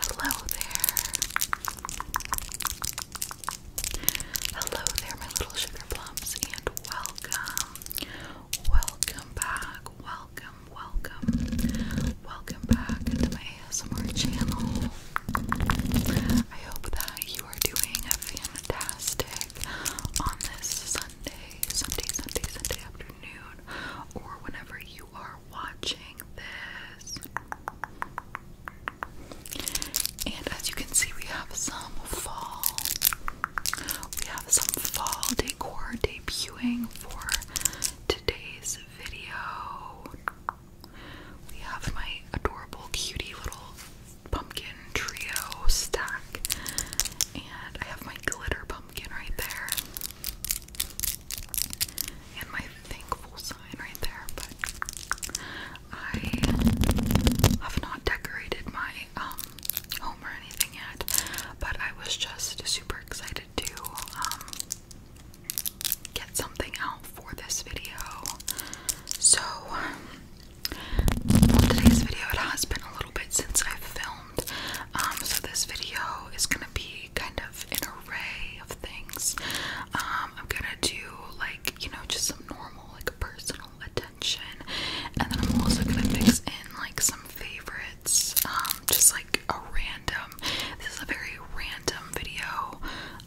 Hello there. Hello there, my little sugar and welcome. Welcome back. Welcome, welcome. Welcome back to my ASMR channel. I hope that you are doing fantastic on this Sunday, Sunday, Sunday, Sunday afternoon, or whenever are watching this. And as you can see, we have some fall. We have some fall decor debuting for today's video. We have my adorable, cutie little pumpkin trio stack, and I have my glitter pumpkin right there and my thankful sign right there, but I have not decorated my um home or anything yet, but I was just super excited to um get something out for this video. So um, today's video it has been a little bit since I filmed um, so this video is gonna be kind of an array of things. Um, I'm gonna do like you know just some normal like personal attention, and then I'm also gonna mix in like some favorites. Um, just like a random. This is a very random video.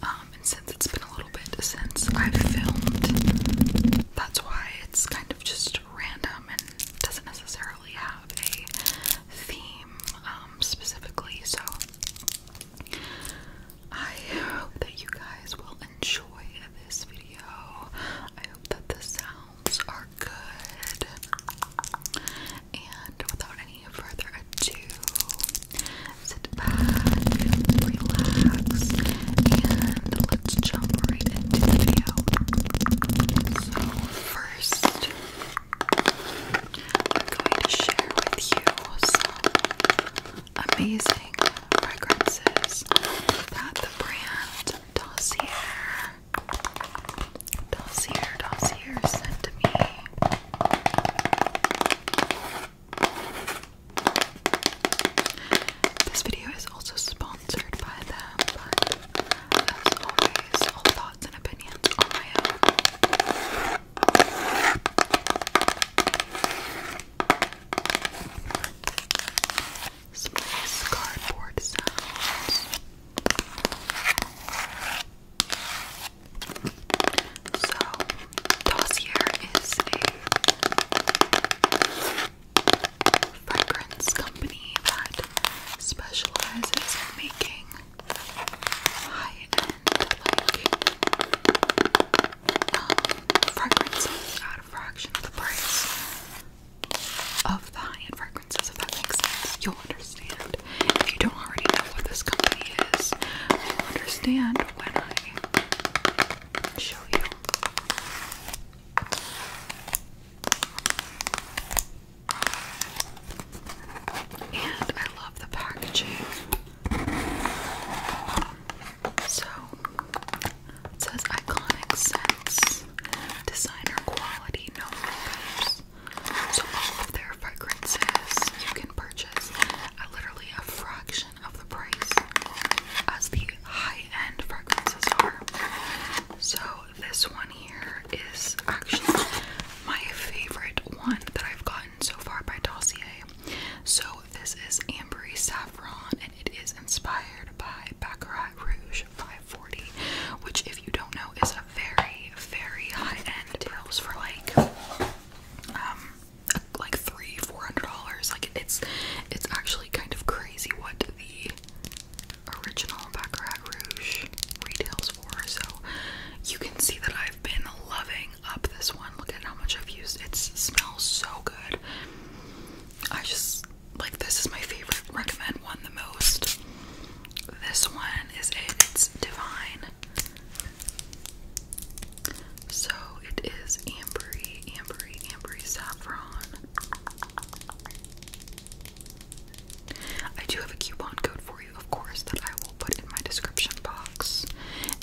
and since it's been a little bit since I've filmed, that's why it's kind of just random and doesn't necessarily necessarily have a theme um, specifically, so I hope that you guys will enjoy this video. I hope that the sounds are good. And without any further ado, sit back, relax, and let's jump right into the video. So, first, I'm going to share with you some amazing fragrances that the brand Dossier, Dossier, Dossier sent to me. This video is also sponsored by them, as always, thoughts and opinions on my own. Some nice So, dossier is a fragrance company that specializes in making high end um, fragrances at a fraction of the price of the high end fragrances. If that makes sense, you'll understand. If you don't already know what this company is, you'll understand when I show you. And I love the packaging. So it says iconic scents, designer quality, no makeups. So all of their fragrances you can purchase at literally a fraction of the price as the high-end fragrances are. So this one here is actually my favorite one that I've gotten so far by Dossier. So this is Ambery Saffron and it is inspired by Baccarat Rouge 540, which if you don't know is a very, very high-end tails for like um like three, four hundred dollars. Like it's it's actually kind of crazy what the original Baccarat Rouge retails so you can see that I've been loving up this one. Look at how much I've used. It smells so good. I just like this is my favorite. Recommend one the most. This one is it. It's divine. So it is ambery, ambery, ambery saffron. I do have a coupon code for you, of course, that I will put in my description box.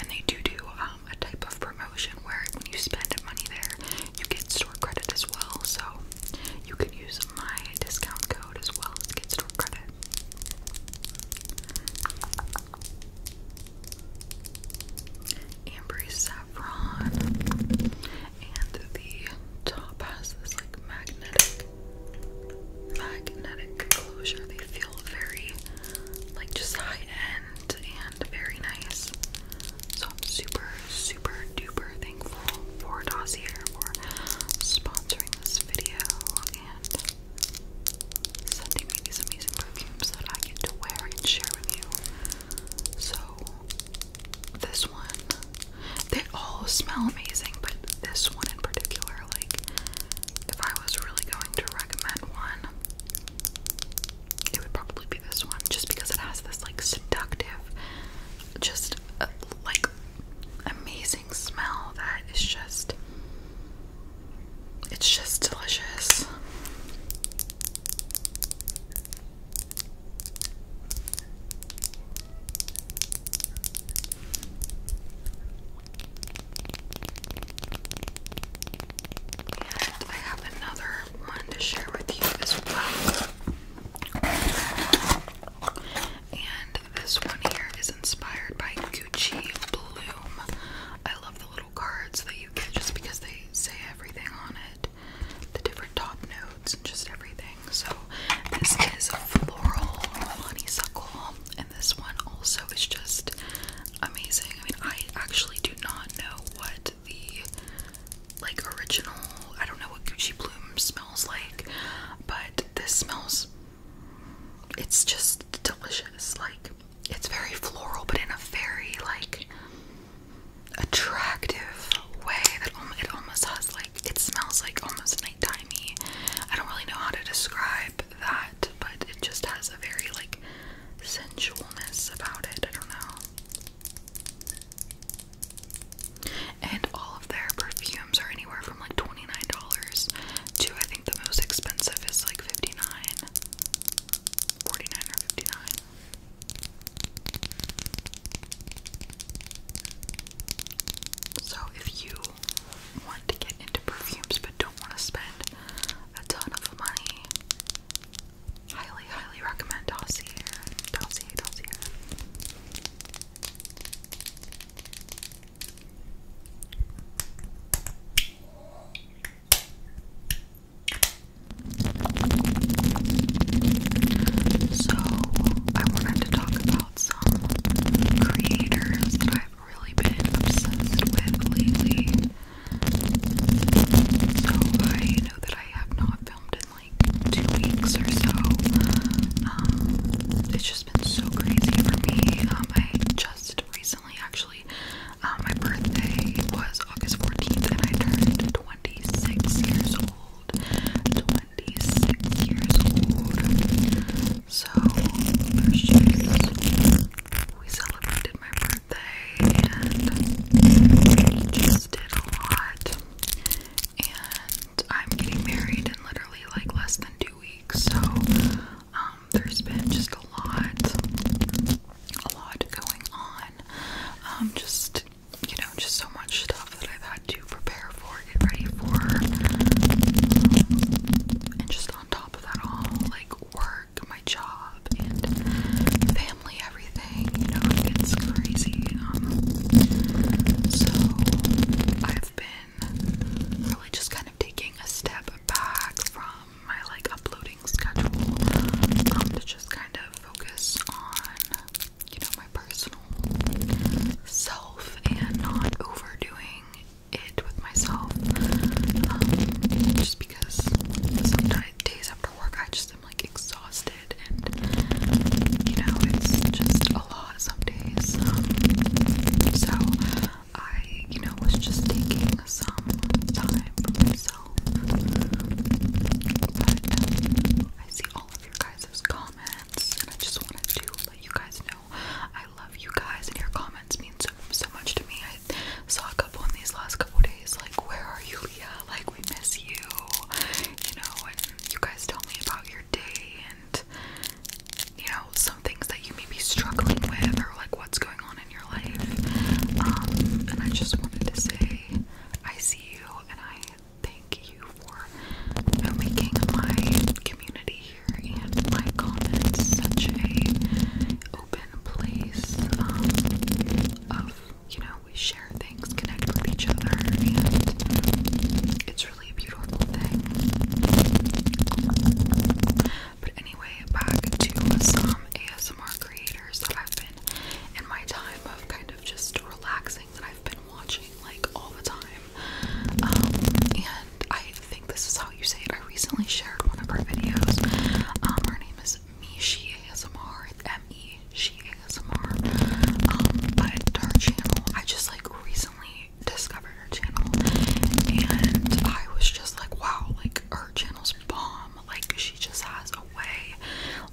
And they do do um, a type of promotion where when you spend money there, you get store credit as well. So you can use my discount code as well to get store credit. Ambery saffron, and the top has this like magnetic magnetic closure. They feel very like just high end and very nice. So I'm super, super duper thankful for Dossier for sponsoring this video and sending me these amazing perfumes that I get to wear and share with you. So this one they all smell amazing, but this one in particular, like, if I was really going to recommend one, it would probably be this one just because it has this, like, seductive, just, uh, like, amazing smell that is just. It's just delicious. And I have another one to share with you as well. And this one here is inspired by Gucci Bloom. I love the little cards that you get just because they say everything on it, the different top notes, and just everything. So, this is a floral honeysuckle and this one also is just amazing. I mean, I actually do not know what the like original, I don't know what Gucci Bloom smells like, but this smells it's just delicious. Like it's very floral but in a very like attractive way that it almost has like it smells like almost nighttimey. I don't really know how to describe that, but it just has a very like sensualness about it. I don't know. And all of their perfumes are anywhere from like twenty nine dollars to I think the most expensive is like fifty nine. Forty nine or fifty nine. So, if you want to get into perfumes but don't want to spend a ton of money, highly, highly recommend Dossier. Dossier, Dossier. So, I wanted to talk about some creators that I I've really been obsessed with lately. So I know that I have not filmed in like two weeks or so. Um, it's just been so crazy for me. Um, I just recently actually, uh, my birthday was August 14th and I turned 26 years old. 26 years old. So, first we celebrated my birthday and just did a lot. And I'm getting married in literally like less than two weeks, so um, there's been just a lot, a lot going on. Um, just you know, just so much stuff that I've had to prepare for get ready for, and just on top of that all, like work, my job, and family, everything. You know, it crazy. Um, so I've been really just kind of taking a step back from my like uploading schedule um, to just kind of focus on you know my personal self and not overdoing it with myself. Um, just because sometimes days after work I just am like exhausted and you know it's just a lot some days. so I, you know, was just taking some time for But I see all of your guys' comments and I just wanted to let you guys know I love you guys and your comments mean so so much to me. I saw a couple in these last couple days, like where are you Leah? Like we miss you. You know, and you guys tell me about your day and you know, some things that you may be struggling with or like what's going on in your life. Um, and I just wanted to say I see you and I thank you for making my community and my comments such a open place um, of you know we share things, connect with each other, and it's really a beautiful thing. But anyway, back to some ASMR creators that I've been in my time of kind of just relaxing that I've been watching like all the time. Um, and I think this is how you say it. I recently shared one of her videos. Um, her name is Mishi ASMR. It's M-E She ASMR. Um, but her channel, I just like recently discovered her channel and I was just like, wow, like her channel's bomb. Like she just has a way,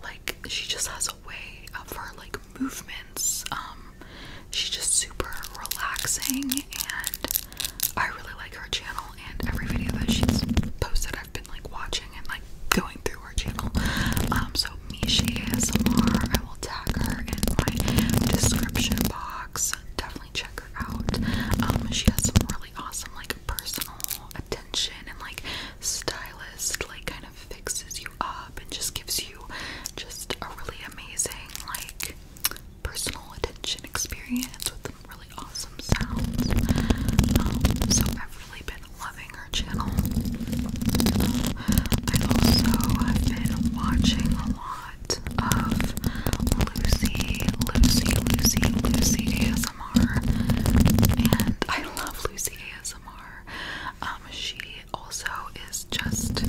like she just has a way of her like movements, um, She's just super relaxing, and I really like her channel. And every video that she's posted, I've been like watching and like going through her channel. Um, so Mishi ASMR, I will tag her in my description box. Definitely check her out. Um, she has some really awesome like personal attention and like stylist like kind of fixes you up and just gives you just a really amazing like personal attention experience with some really awesome sounds. Um, so I've really been loving her channel. I also been watching a lot of Lucy, Lucy, Lucy, Lucy ASMR, and I love Lucy ASMR. Um, she also is just,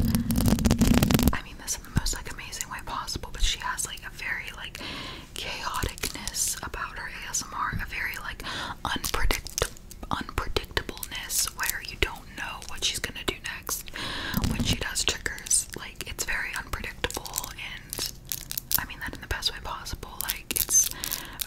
I mean, this most like amazing way possible, but she has like a very like chaoticness about her ASMR, a very like unpredict unpredictableness where you don't know what she's gonna do next when she does triggers. Like it's very unpredictable and I mean that in the best way possible. Like it's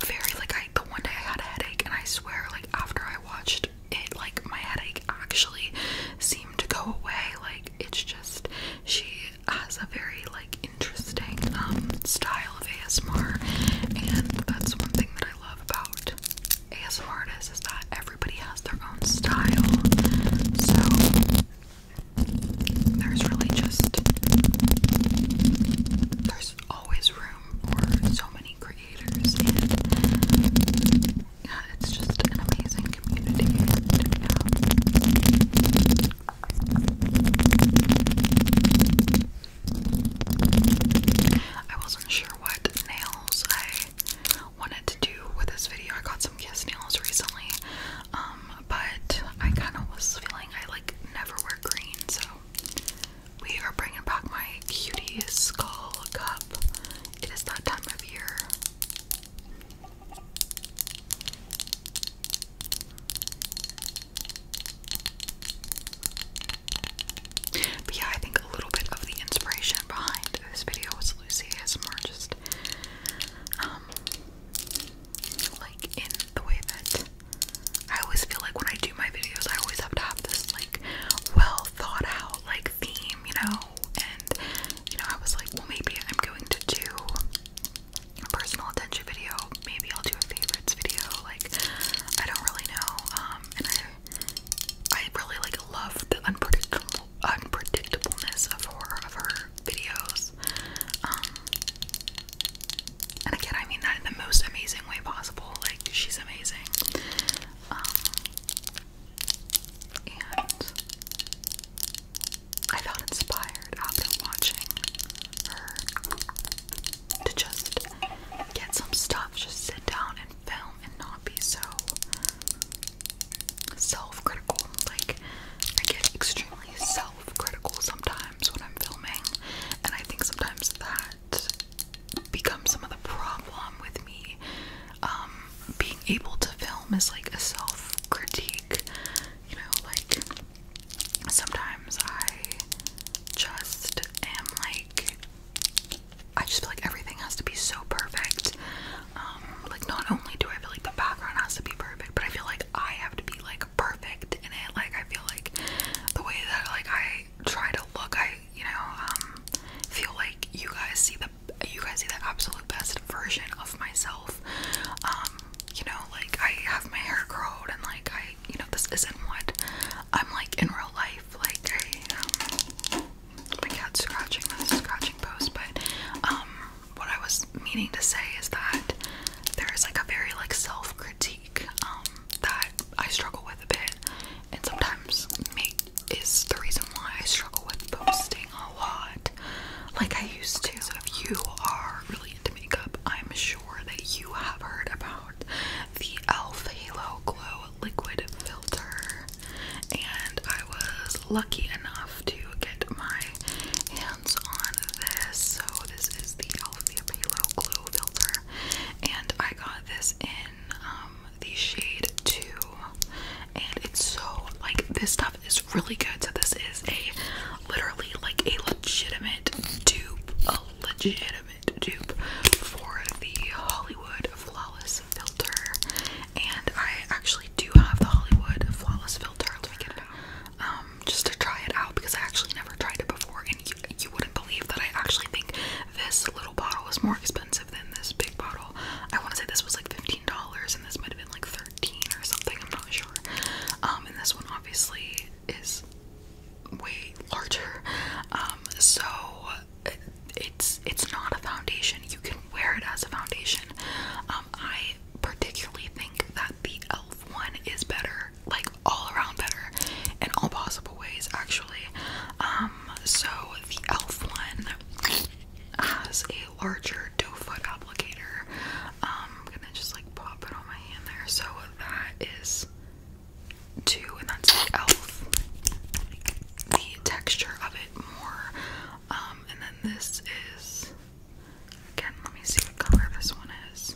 very like I the one day I had a headache and I swear like after I watched it like my headache actually seemed to go away. Like it's just she has a very like interesting um, style of ASMR and that's one thing that I love about ASMR artists is that everybody has their own style. So there's really just there's always room for so many creators and yeah, it's just an amazing community I wasn't sure what nails I wanted to do with this video. I got some kiss nails recently, um, but I kind of was feeling I like never wear green, so we are bringing back my cutie skull cup. It is that time of year. But yeah, I think a little bit of the inspiration behind this video was Lucy ASMR, just um, like in the way that I always feel like when I do my videos, I always have to have this like well thought out like theme, you know, and you know, I was like, well, maybe I'm going to do a personal attention video. Maybe I'll do a favorites video. Like, I don't really know. Um, and I, I really like love the unpredictable unpredictableness of horror of her videos. Um, and again, I mean that in the most amazing way possible. Like, she's amazing. Um, and I felt inspired after watching her to just get some stuff, just sit down and film and not be so self critical. Like, I get extremely self critical sometimes when I'm filming, and I think sometimes that becomes some of the problem with me. Um, being able to film is like a self critique. You know, like sometimes I just am like, I just feel like everything has to be so perfect. Um, like, not only do I feel like the background has to be perfect, but I feel like I have to be like perfect in it. Like, I feel like the way that like I try to look, I you know, um, feel like you guys see the you guys see the absolute best version of myself. Um, you know, like I have my hair curled and like I, you know, this isn't what I'm like in real life. Like I, um, my scratching this scratching post, but um, what I was meaning to say is that there is like a very like self critique um that I struggle with a bit, and sometimes make is the reason why I struggle with posting a lot like I used to. So if you are really into makeup, I'm sure that you have heard about the e.l.f. Halo Glow Liquid Filter. And I was lucky enough to get my hands on this. So this is the e.l.f. Halo Glow Filter. And I got this in um, the shade 2. And it's so, like, this stuff. It's really good. So this is a literally like a legitimate dupe, a legitimate dupe for the Hollywood Flawless Filter. And I actually do have the Hollywood Flawless Filter. Let me get it out. Um, just to try it out because I actually never tried it before and you, wouldn't believe that I actually think this little bottle is more expensive than this big bottle. I want to say this was like $15 and this might have been like 13 or something, I'm not sure. Um, and this one obviously is way larger. Um, so it's it's not a foundation. You can wear it as a foundation. Um, I particularly think that the e.l.f. one is better, like all around better in all possible ways, actually. so the e.l.f. one has a larger doe foot applicator. Um, I'm gonna just like pop it on my hand there. So that is two, and that's the elf. The texture of it more. Um, and then this is again. Let me see what color this one is.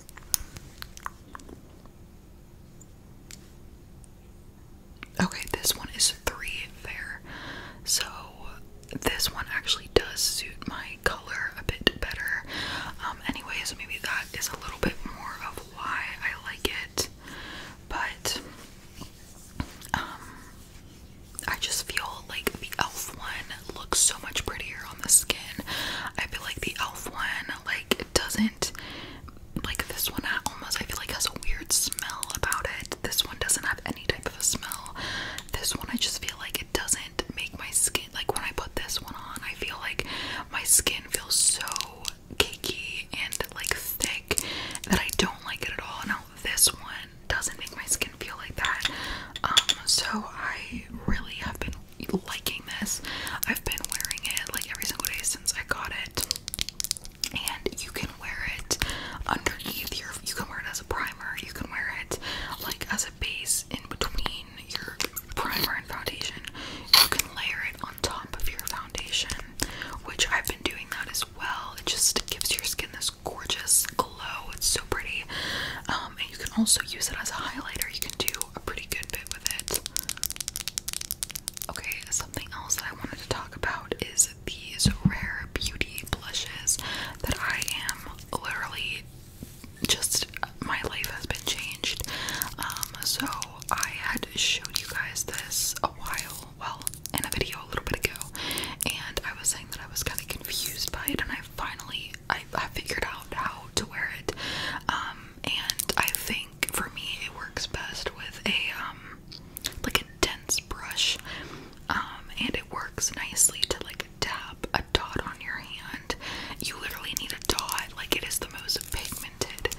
Okay, this one is three there. So this one actually does suit my color a bit better. Um, anyways, maybe that is a little bit more of why I like it. But um, I just feel like the elf one looks so much prettier on the skin. I feel like the elf one, like, it doesn't like this one almost I feel like has a weird smell about it. This one doesn't have any any type of a smell. This one I just feel like it doesn't make my skin like when I put this one on, I feel like my skin feels so cakey and like thick that I don't like it at all. Now this one doesn't make my skin feel like that. Um so I really have been liking this. I've been wearing it like every single day since I got it. And you can wear it underneath your you can wear it as a primer, you can wear it like as a base in between your primer and foundation. You can layer it on top of your foundation, which I've been doing that as well. It just gives your skin this gorgeous glow. It's so pretty. Um, and you can also use it as a highlighter. You can do a pretty good bit with it. Okay, something else that I wanted to talk about is these rare beauty blushes that I am literally just my life has been changed. Um, so I had showed you guys this a while, well, in a video a little bit ago, and I was saying that I was kind of confused by it, and I finally I, figured out how to wear it. Um, and I think for me it works best with a um like intense brush um, and it works nicely to like tap a dot on your hand. You literally need a dot, like it is the most pigmented,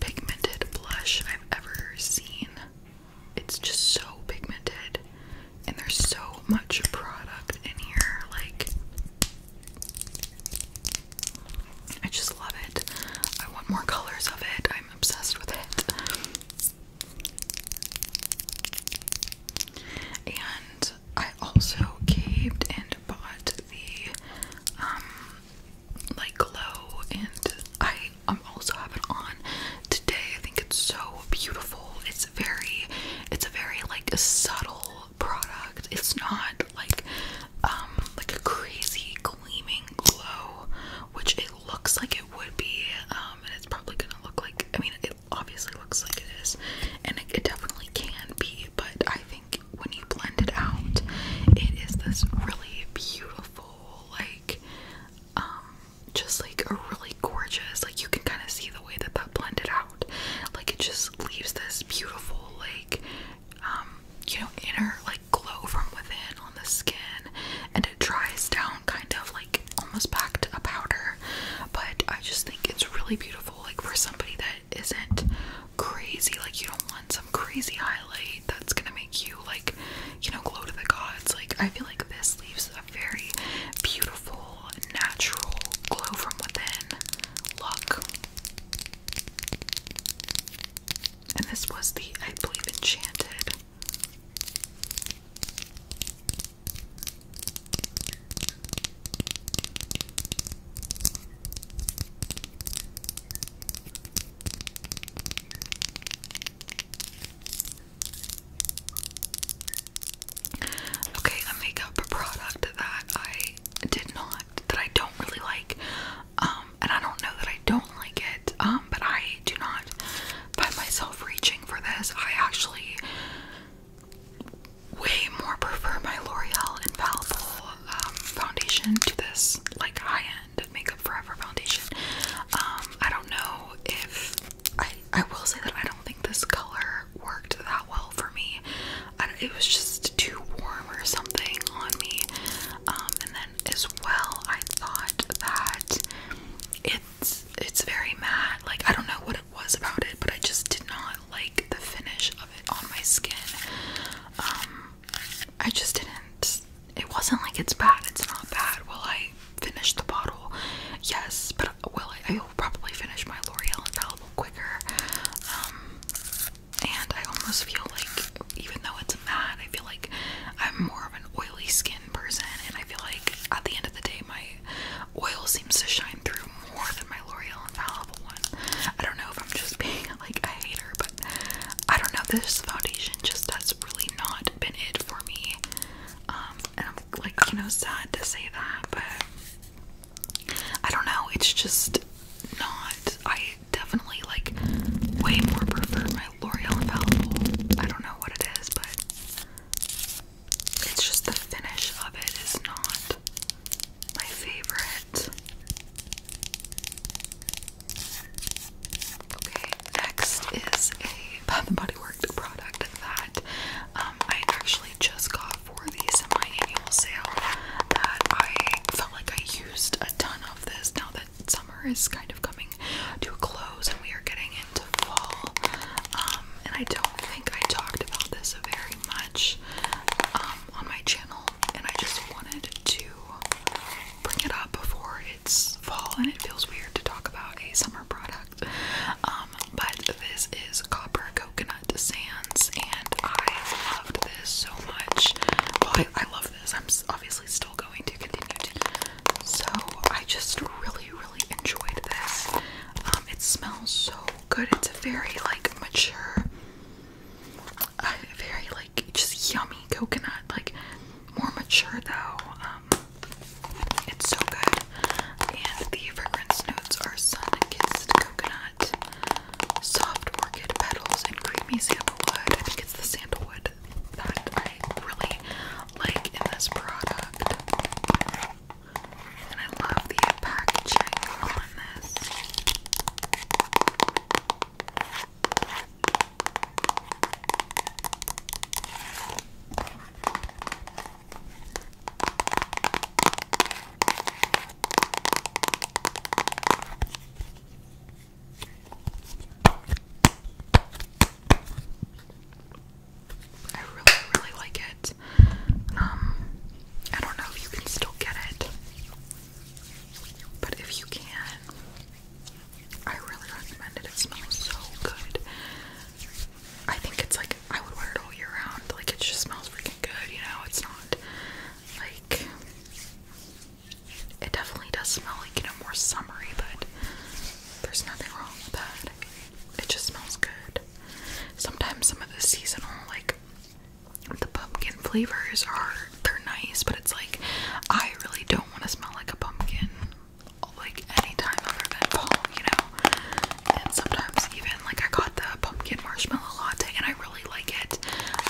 pigmented blush I've ever seen. It's just so pigmented, and there's so much product in here. Like, I just love it. I want more colors of it. I'm obsessed with it. And I also caved and bought the um like glow and I I'm also have it on today. I think it's so beautiful. It's very it's a very like subtle product. It's not like um like a crazy gleaming glow, which is it looks like it would be, um, and it's probably gonna look like, I mean, it obviously looks like it is, and it, definitely can be, but I think when you blend it out, it is this really beautiful, like, um, just like a really gorgeous, like, you can kind of see the way that that blended out, like, it just leaves this beautiful, like, um, you know, inner, like, glow from within on the skin and it dries down kind of like almost back to a powder but I just think it's really beautiful like for somebody that isn't crazy like you don't want some crazy highlight that's gonna make you like you know glow to the gods like I feel like this leaves a very beautiful natural glow from within look and this was the I believe enchanted Okay, a makeup product that I did not, that I don't really like, um, and I don't know that I don't like it, um, but I do not by myself reaching for this. I actually way more prefer my L'Oreal Infallible um, foundation to this like high-end Makeup Forever foundation. Um, I don't know if I I will say that I don't think this color worked that well for me. I, it was just too warm or something on me. Um, and then as well, I thought that it's it's very matte. Like I don't know what it was about it, but I just did not like the finish of it on my skin. Um, I just didn't it wasn't like it's bad, it's not bad. Will I finish the bottle? Yes, but will I I will probably finish my L'Oreal Infallible quicker. Um, and I almost feel like even though it's matte, I feel like I'm more of an oily skin person, and I feel like at the end of the day, my oil seems to shine through more than my L'Oreal Infallible one. I don't know if I'm just being like a hater, but I don't know. This foundation just has really not been it for me. Um, and I'm like, you know, sad to say that, but I don't know. It's just not. I definitely like way more prefer my L'Oreal Infallible. I don't know what it is, but it's just the finish of it is not my favorite. Okay, next is a Bath and Body Works product that um, I actually just got for the semi-annual sale that I felt like I used a ton of this now that summer is kind of coming to a close and we are getting into fall. Um, and I don't think I talked about this very much um, on my channel, and I just wanted to bring it up before it's fall, and it feels weird to talk about a summer product. Um, but this is Copper Coconut Sands, and I loved this so much. I, I love this. I'm obviously still going to continue to so I just really, really enjoyed this. Um, it smells so good. It's a very like mature, very like just yummy coconut. Like more mature though. Um, it's so good. And the fragrance notes are sun-kissed coconut, soft orchid petals, and creamy sandalwood. I think it's the sandalwood that I really like in this product. And I love the packaging on this. I really, really like it. Um, I don't know if you can still get it, but if you can, I really recommend it. It smells so good. I think it's like I would wear it all year round. Like it just smells freaking good, you know. It's not like it definitely does smell like you know more summery, but there's nothing wrong with that. It just smells good. Sometimes some of the seasonal, like the pumpkin flavors are they're nice, but it's like I really don't want to smell like a pumpkin like any time other than fall, you know. And sometimes even like I got the pumpkin marshmallow latte and I really like it,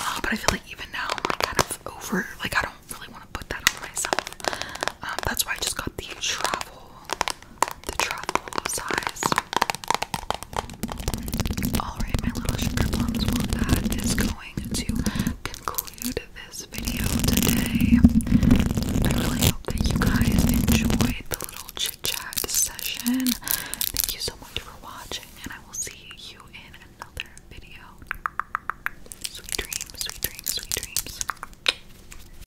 uh, but I feel like even now I'm like kind of over. Like I don't really want to put that on myself. Um, that's why I just got the travel the truffle size. Alright, my little sugar plums, well, that is going to conclude this video today. I really hope that you guys enjoyed the little chit chat session. Thank you so much for watching, and I will see you in another video. Sweet dreams, sweet dreams, sweet dreams.